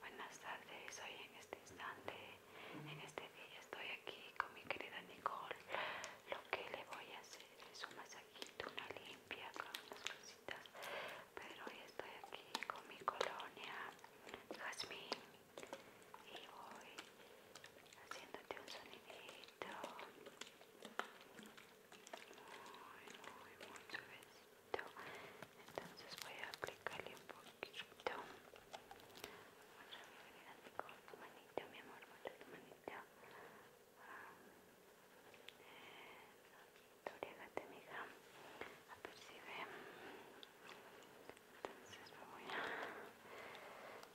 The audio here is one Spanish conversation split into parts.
Buenas tardes, hoy en este instante, en este día estoy aquí con mi querida Nicole. Lo que le voy a hacer es un masajito, una limpia con unas cositas. Pero hoy estoy aquí con mi colonia Jasmine y voy haciéndote un sonidito muy muy suavecito entonces voy a aplicarle un poquito Voy a venir así con tu manita mi amor con tu manita historia ah, eh, de la mija apercibe entonces me voy a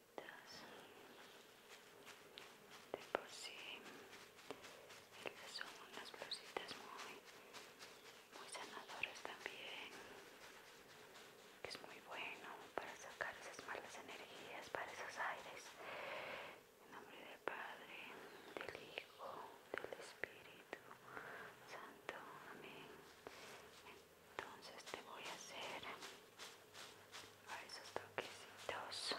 de por sí son unas blusitas muy muy sanadoras también que es muy bueno para sacar esas malas energías para esos aires en nombre del Padre del Hijo del Espíritu Santo amén entonces te voy a hacer a esos toquecitos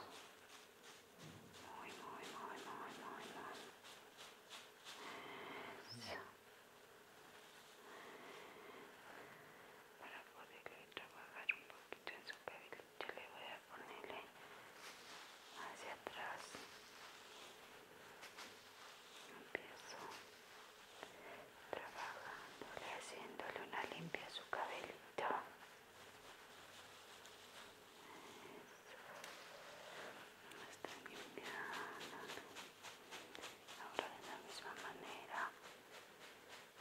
muy muy muy muy muy muy para poderle trabajar un poquito en su cabellito le voy a ponerle hacia atrás empiezo trabajando haciéndole una limpia a su cabello Está Ahora de la misma manera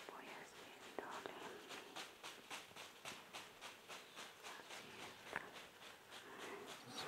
voy haciéndole así está. Así.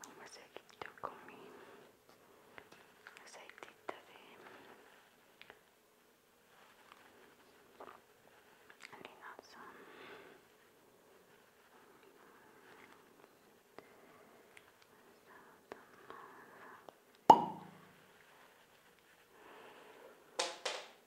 Vamos a seguir con mi aceitita de linaza.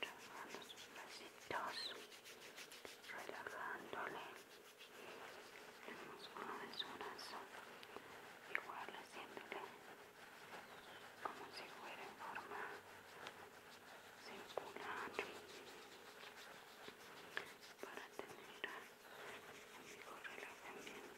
trabajando sus bracitos, relajándole el músculo de su brazo, igual haciéndole como si fuera en forma circular para tener un mejor relajamiento.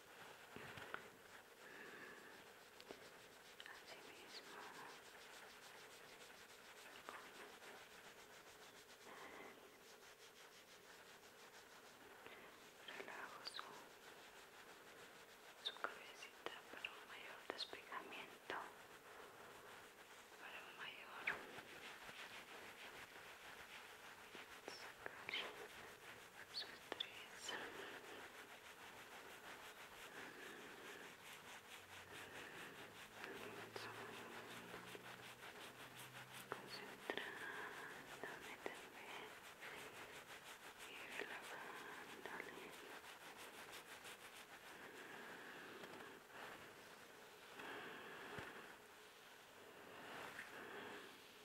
Asimismo, relajo su, cabecita para un mayor despegamiento, para un mayor su estrés. Concentrándome también y relajándole.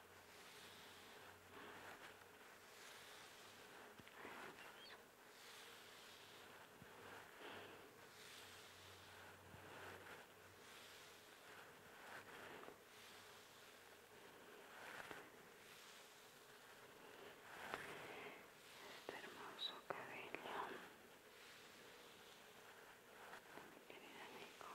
Este hermoso cabello, mi querida Nico.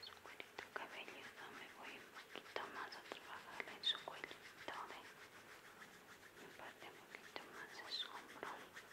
Su cabelludo me voy un poquito más a trabajar en su cuello, me parte un poquito más es su hombro.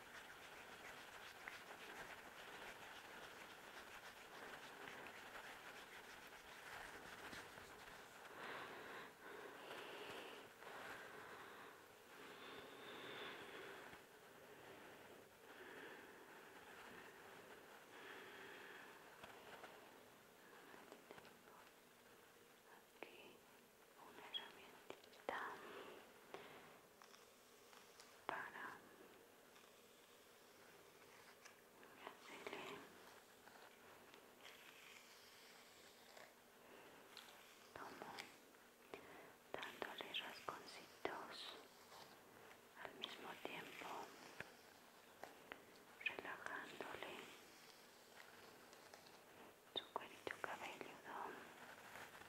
Aquí una herramientita para hacerle como dándole rasconcitos al mismo tiempo relajándole su cabello cabelludo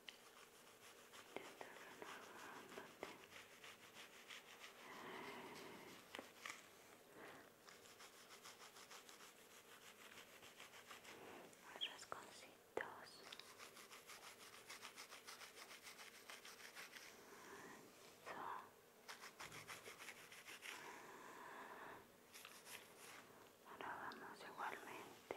Intenta relajándote. Los rasconcitos. Eso. Ahora vamos igualmente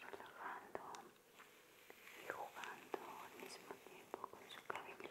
relajando y jugando al mismo tiempo con su cabello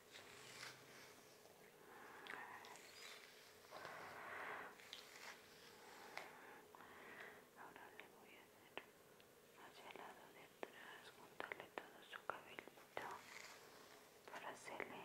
Ahora le voy a hacer hacia el lado de atrás, juntarle todo su cabellito para hacerle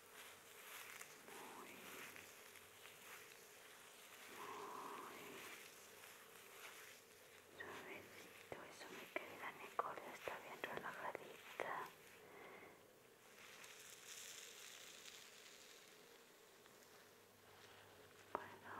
muy, muy suavecito, eso me queda, está bien relajadita. Puedo sentirlo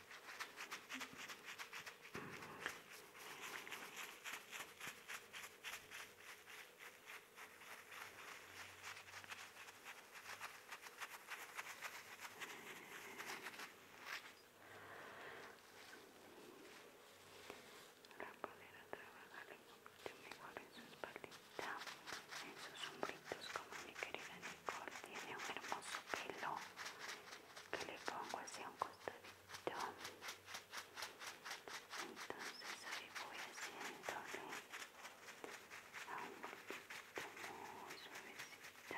para poder trabajar mejor en su espalda, en sus sombritos como mi querida tiene un hermoso pelo que le pongo hacia un costadito entonces ahí voy haciéndole a un poquito muy suavecito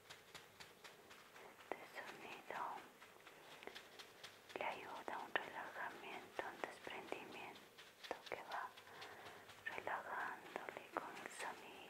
este sonido le ayuda a un relajamiento, un desprendimiento que va relajándole con el sonido.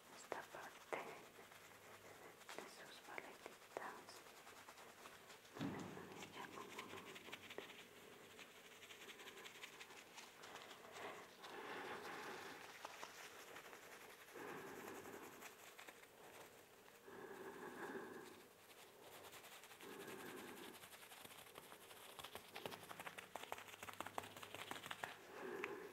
esta parte de sus paletitas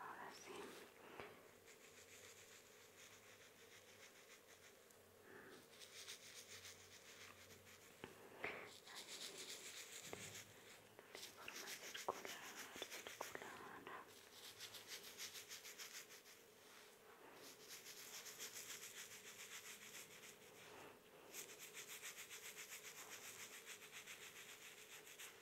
ahora sí de forma circular circular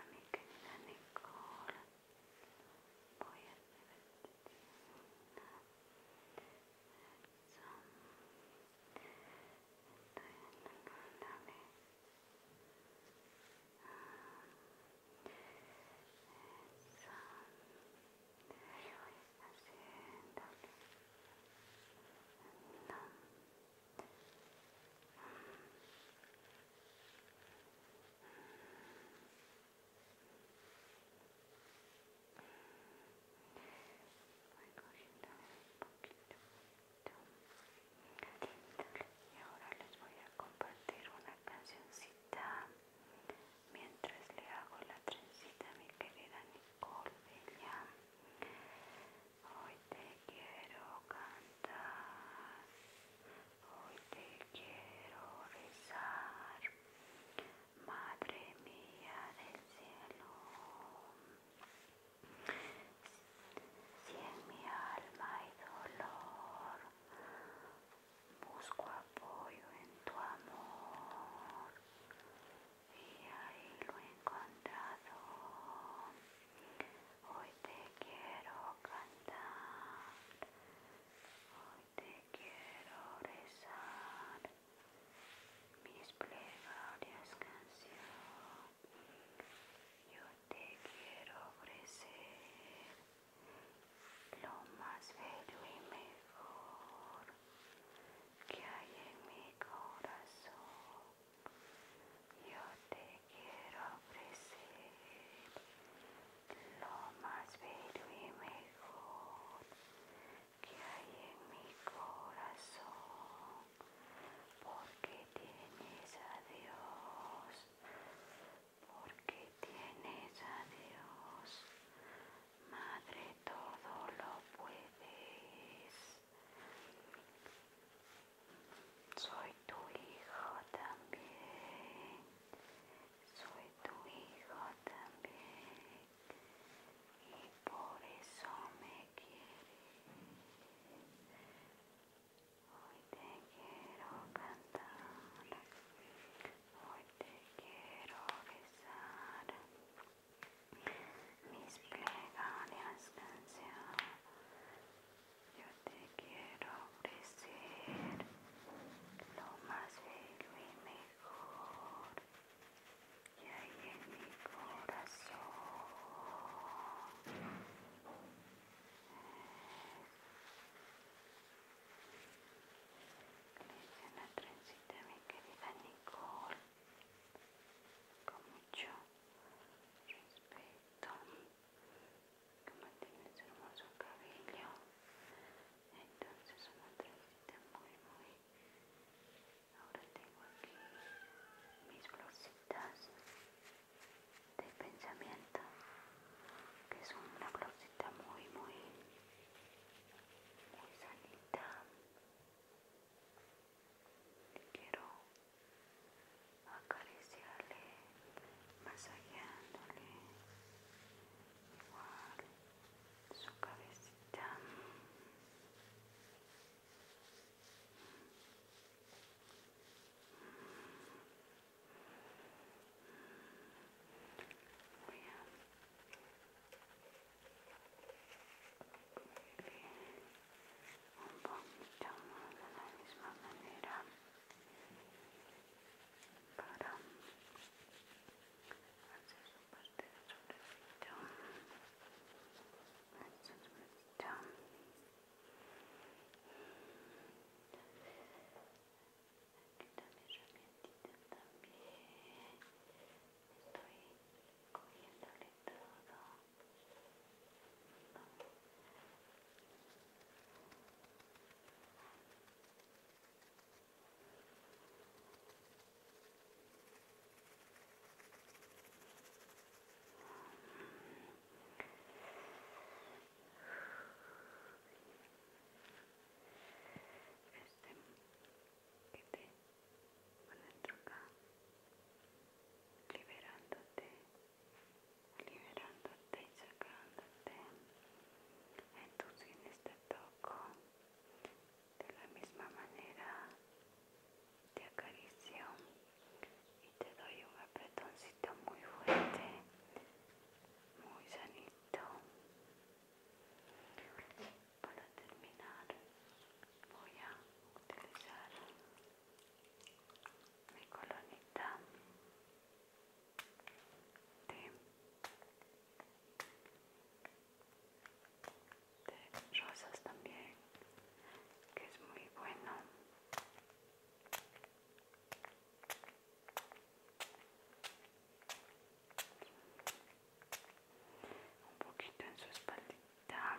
a mi querida Nicole voy a hacer estoy entendándome eso estoy haciéndole no y ahora les voy a compartir una cancioncita mientras le hago la trencita a mi querida Nicole te quiero cantar, hoy te quiero rezar, Madre mía del cielo. Si en mi alma hay dolor, busco apoyo en tu amor y ahí lo he encontrado. Hoy te quiero cantar, hoy te quiero rezar, mis plegarias canción, yo te quiero ofrecer lo más bello y mejor que hay en mi corazón. Yo te quiero ofrecer lo más bello y mejor que hay en mi corazón, porque tienes a Dios, porque tienes a Dios, Madre, todo lo puedes. Soy tu hijo también. Soy tu hijo también. Y por eso me quieres. Hoy te quiero cantar. Hoy te quiero besar. Mis plegarias canciones. Yo te quiero ofrecer lo más bello y mejor que hay en mi corazón. Le hice una trencita mi querida Nicole con mucho respeto que mantiene ese hermoso cabello entonces una trencita muy muy ahora tengo aquí mis florcitas de pensamiento que son una florcita muy muy muy sanita quiero acariciarle, masajeándole igual su cabecita voy a un poquito más de la misma manera para hacer su parte de sobrecito de sobrecito quita mi aquí también estoy cogiéndole todo este que te va a acá liberándote liberándote y sacándote. Entonces te toco, de la misma manera te acaricio y te doy un apretoncito muy fuerte, muy sanito. Para terminar voy a utilizar mi colonita de, rosas también que es muy bueno un poquito en su espaldita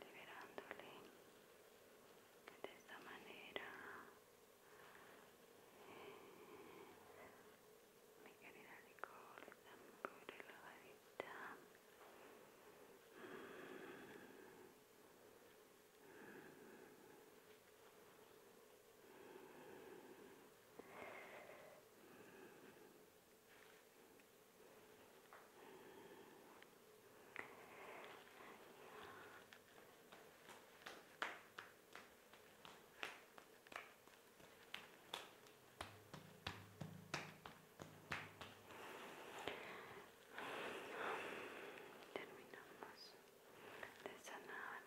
liberándole de esta manera mi querida Nicole está muy relajadita Terminamos de sanar